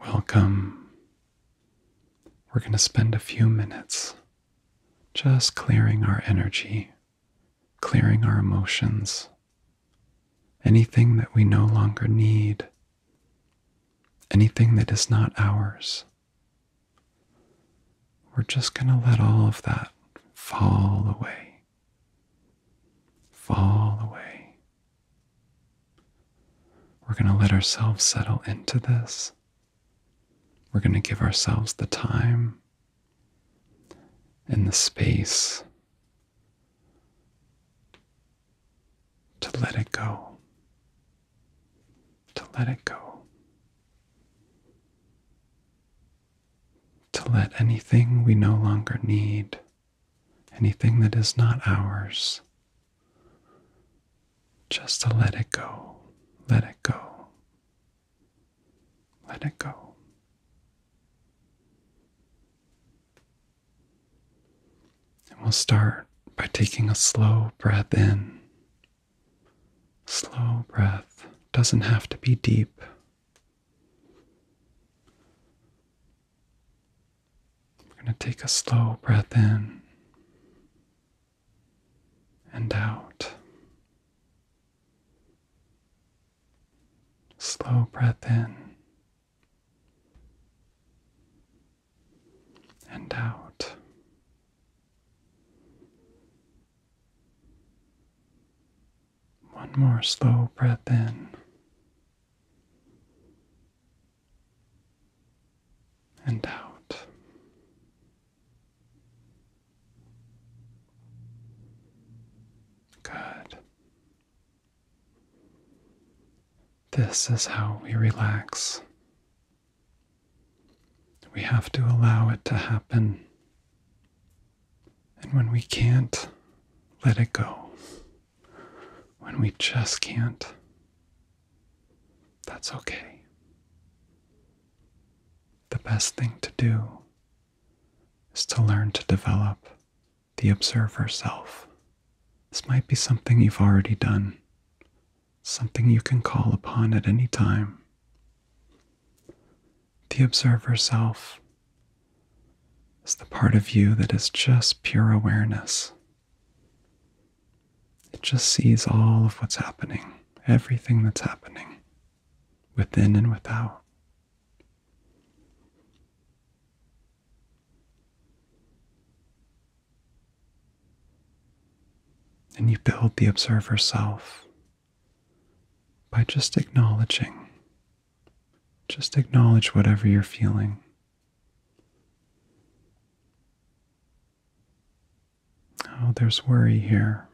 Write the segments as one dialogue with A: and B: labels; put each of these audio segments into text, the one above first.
A: Welcome. We're going to spend a few minutes just clearing our energy, clearing our emotions, anything that we no longer need, anything that is not ours. We're just going to let all of that fall away, fall away, we're going to let ourselves settle into this. We're going to give ourselves the time and the space to let it go, to let it go, to let anything we no longer need anything that is not ours. Just to let it go, let it go, let it go. And we'll start by taking a slow breath in. Slow breath doesn't have to be deep. We're going to take a slow breath in and out. Slow breath in and out. One more slow breath in. And out. Good. This is how we relax. We have to allow it to happen. And when we can't let it go, when we just can't, that's okay. The best thing to do is to learn to develop the observer self. This might be something you've already done, something you can call upon at any time the observer self is the part of you that is just pure awareness. It just sees all of what's happening, everything that's happening, within and without. And you build the observer self by just acknowledging just acknowledge whatever you're feeling. Oh, there's worry here.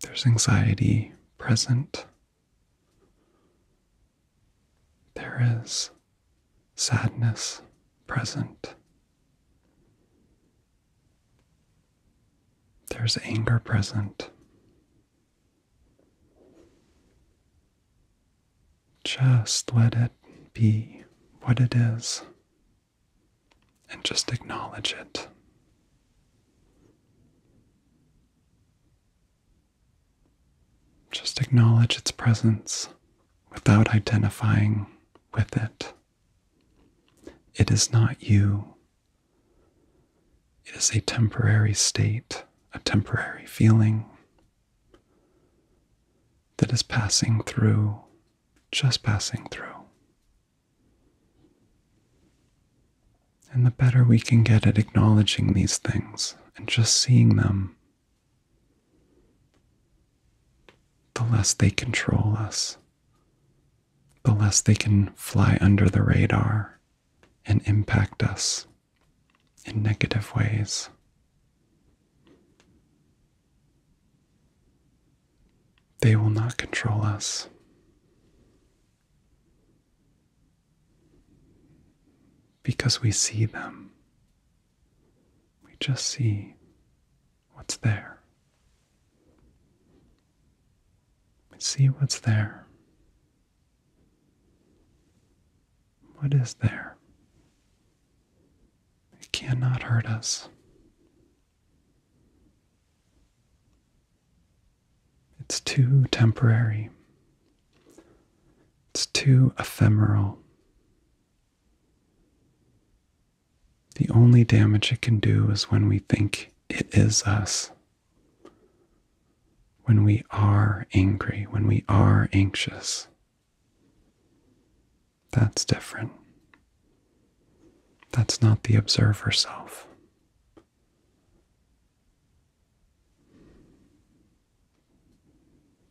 A: There's anxiety present. There is sadness present. There's anger present. Just let it be what it is and just acknowledge it. Just acknowledge its presence without identifying with it. It is not you. It is a temporary state, a temporary feeling that is passing through, just passing through. And the better we can get at acknowledging these things and just seeing them, the less they control us, the less they can fly under the radar and impact us in negative ways. They will not control us. Because we see them. We just see what's there. See what's there. What is there? It cannot hurt us. It's too temporary. It's too ephemeral. The only damage it can do is when we think it is us. When we are angry, when we are anxious. That's different. That's not the observer self.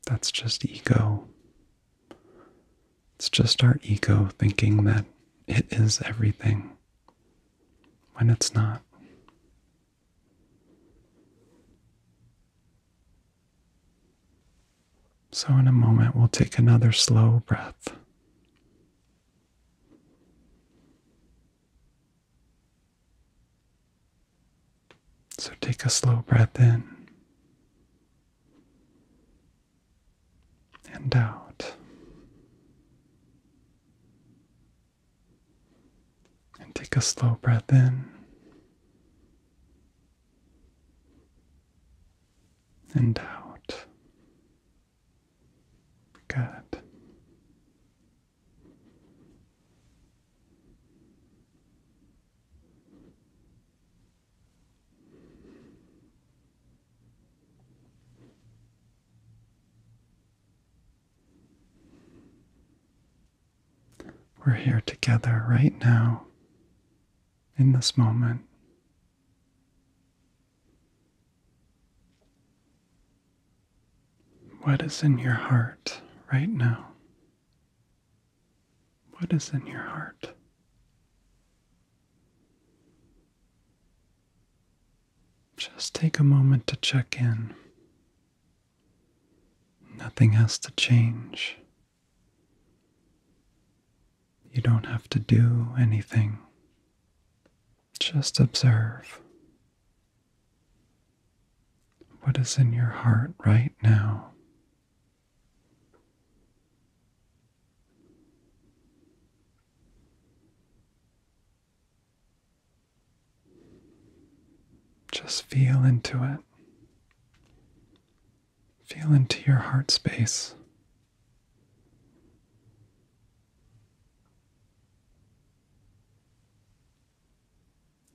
A: That's just ego it's just our ego thinking that it is everything when it's not. So, in a moment, we'll take another slow breath. So, take a slow breath in and out and take a slow breath in and out. Good. We're here together right now in this moment. What is in your heart right now? What is in your heart? Just take a moment to check in. Nothing has to change. You don't have to do anything. Just observe. What is in your heart right now? Just feel into it. Feel into your heart space.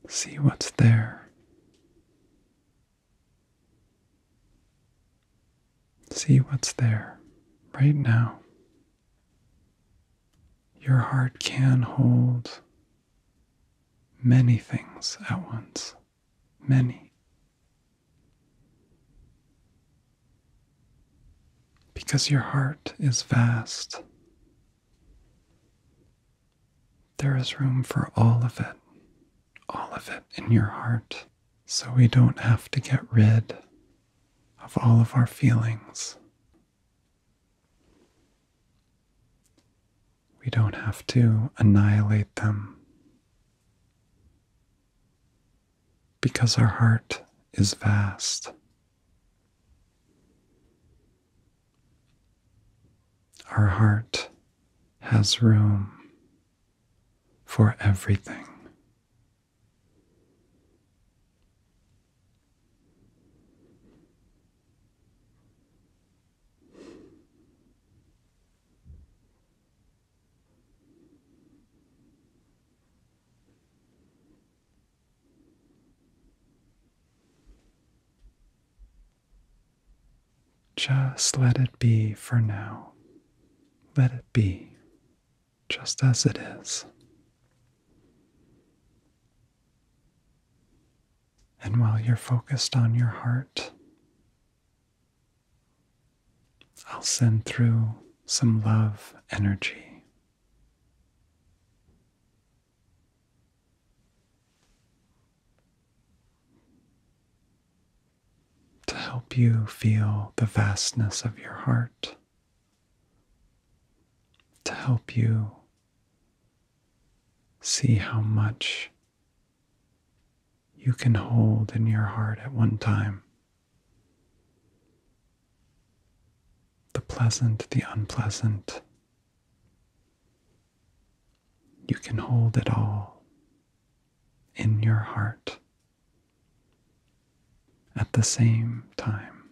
A: See what's there. See what's there right now. Your heart can hold many things at once, many. Because your heart is vast there is room for all of it, all of it in your heart, so we don't have to get rid of all of our feelings. We don't have to annihilate them because our heart is vast. Our heart has room for everything. Just let it be for now. Let it be just as it is. And while you're focused on your heart, I'll send through some love energy to help you feel the vastness of your heart, to help you see how much you can hold in your heart at one time. The pleasant, the unpleasant, you can hold it all in your heart at the same time.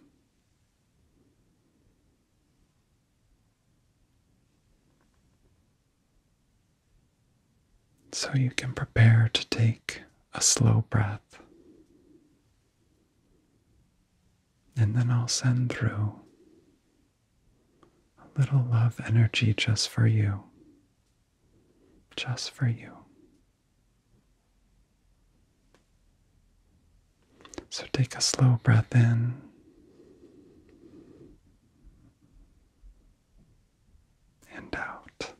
A: So you can prepare to take a slow breath. And then I'll send through a little love energy just for you. Just for you. So take a slow breath in. And out.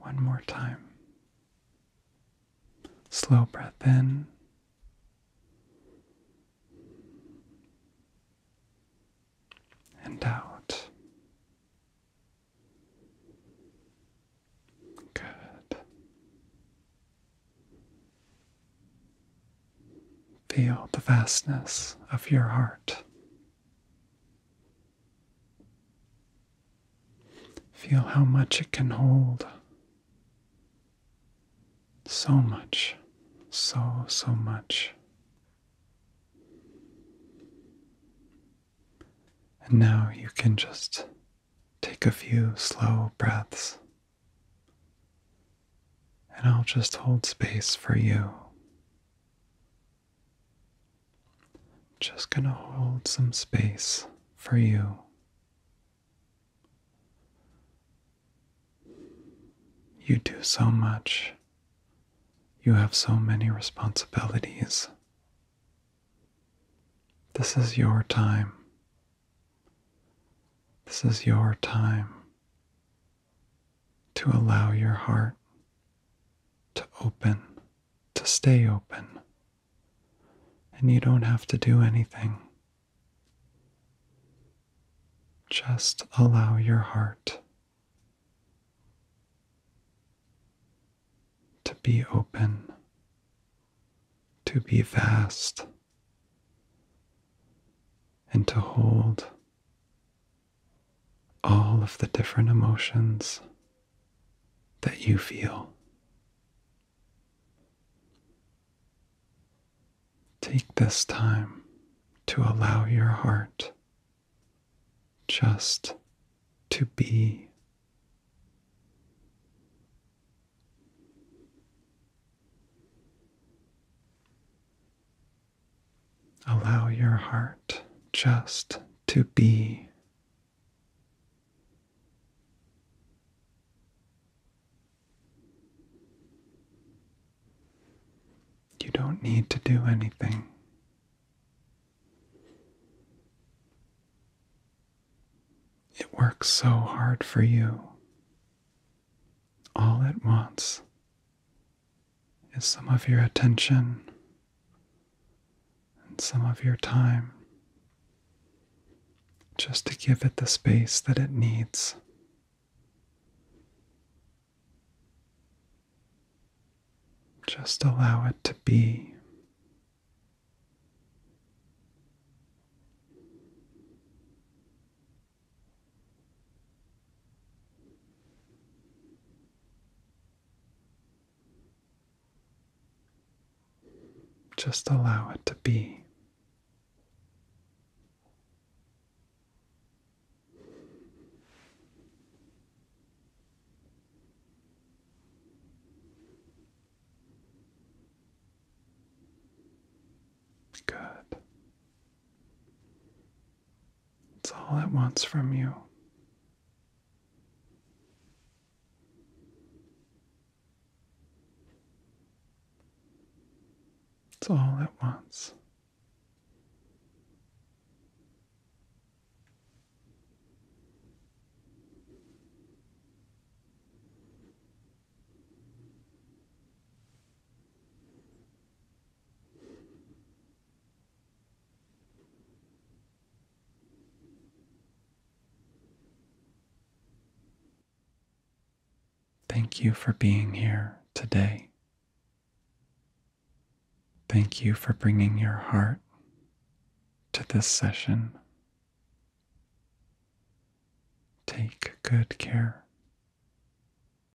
A: One more time. Slow breath in. And out. Good. Feel the vastness of your heart. Feel how much it can hold. So much, so, so much. And now you can just take a few slow breaths. And I'll just hold space for you just going to hold some space for you. You do so much. You have so many responsibilities. This is your time. This is your time to allow your heart to open to stay open, and you don't have to do anything. Just allow your heart to be open, to be vast, and to hold all of the different emotions that you feel. Take this time to allow your heart just to be. Allow your heart just to be. You don't need to do anything. It works so hard for you all at once is some of your attention and some of your time just to give it the space that it needs. Just allow it to be. Just allow it to be. Good. It's all it wants from you. It's all it wants. Thank you for being here today. Thank you for bringing your heart to this session. Take good care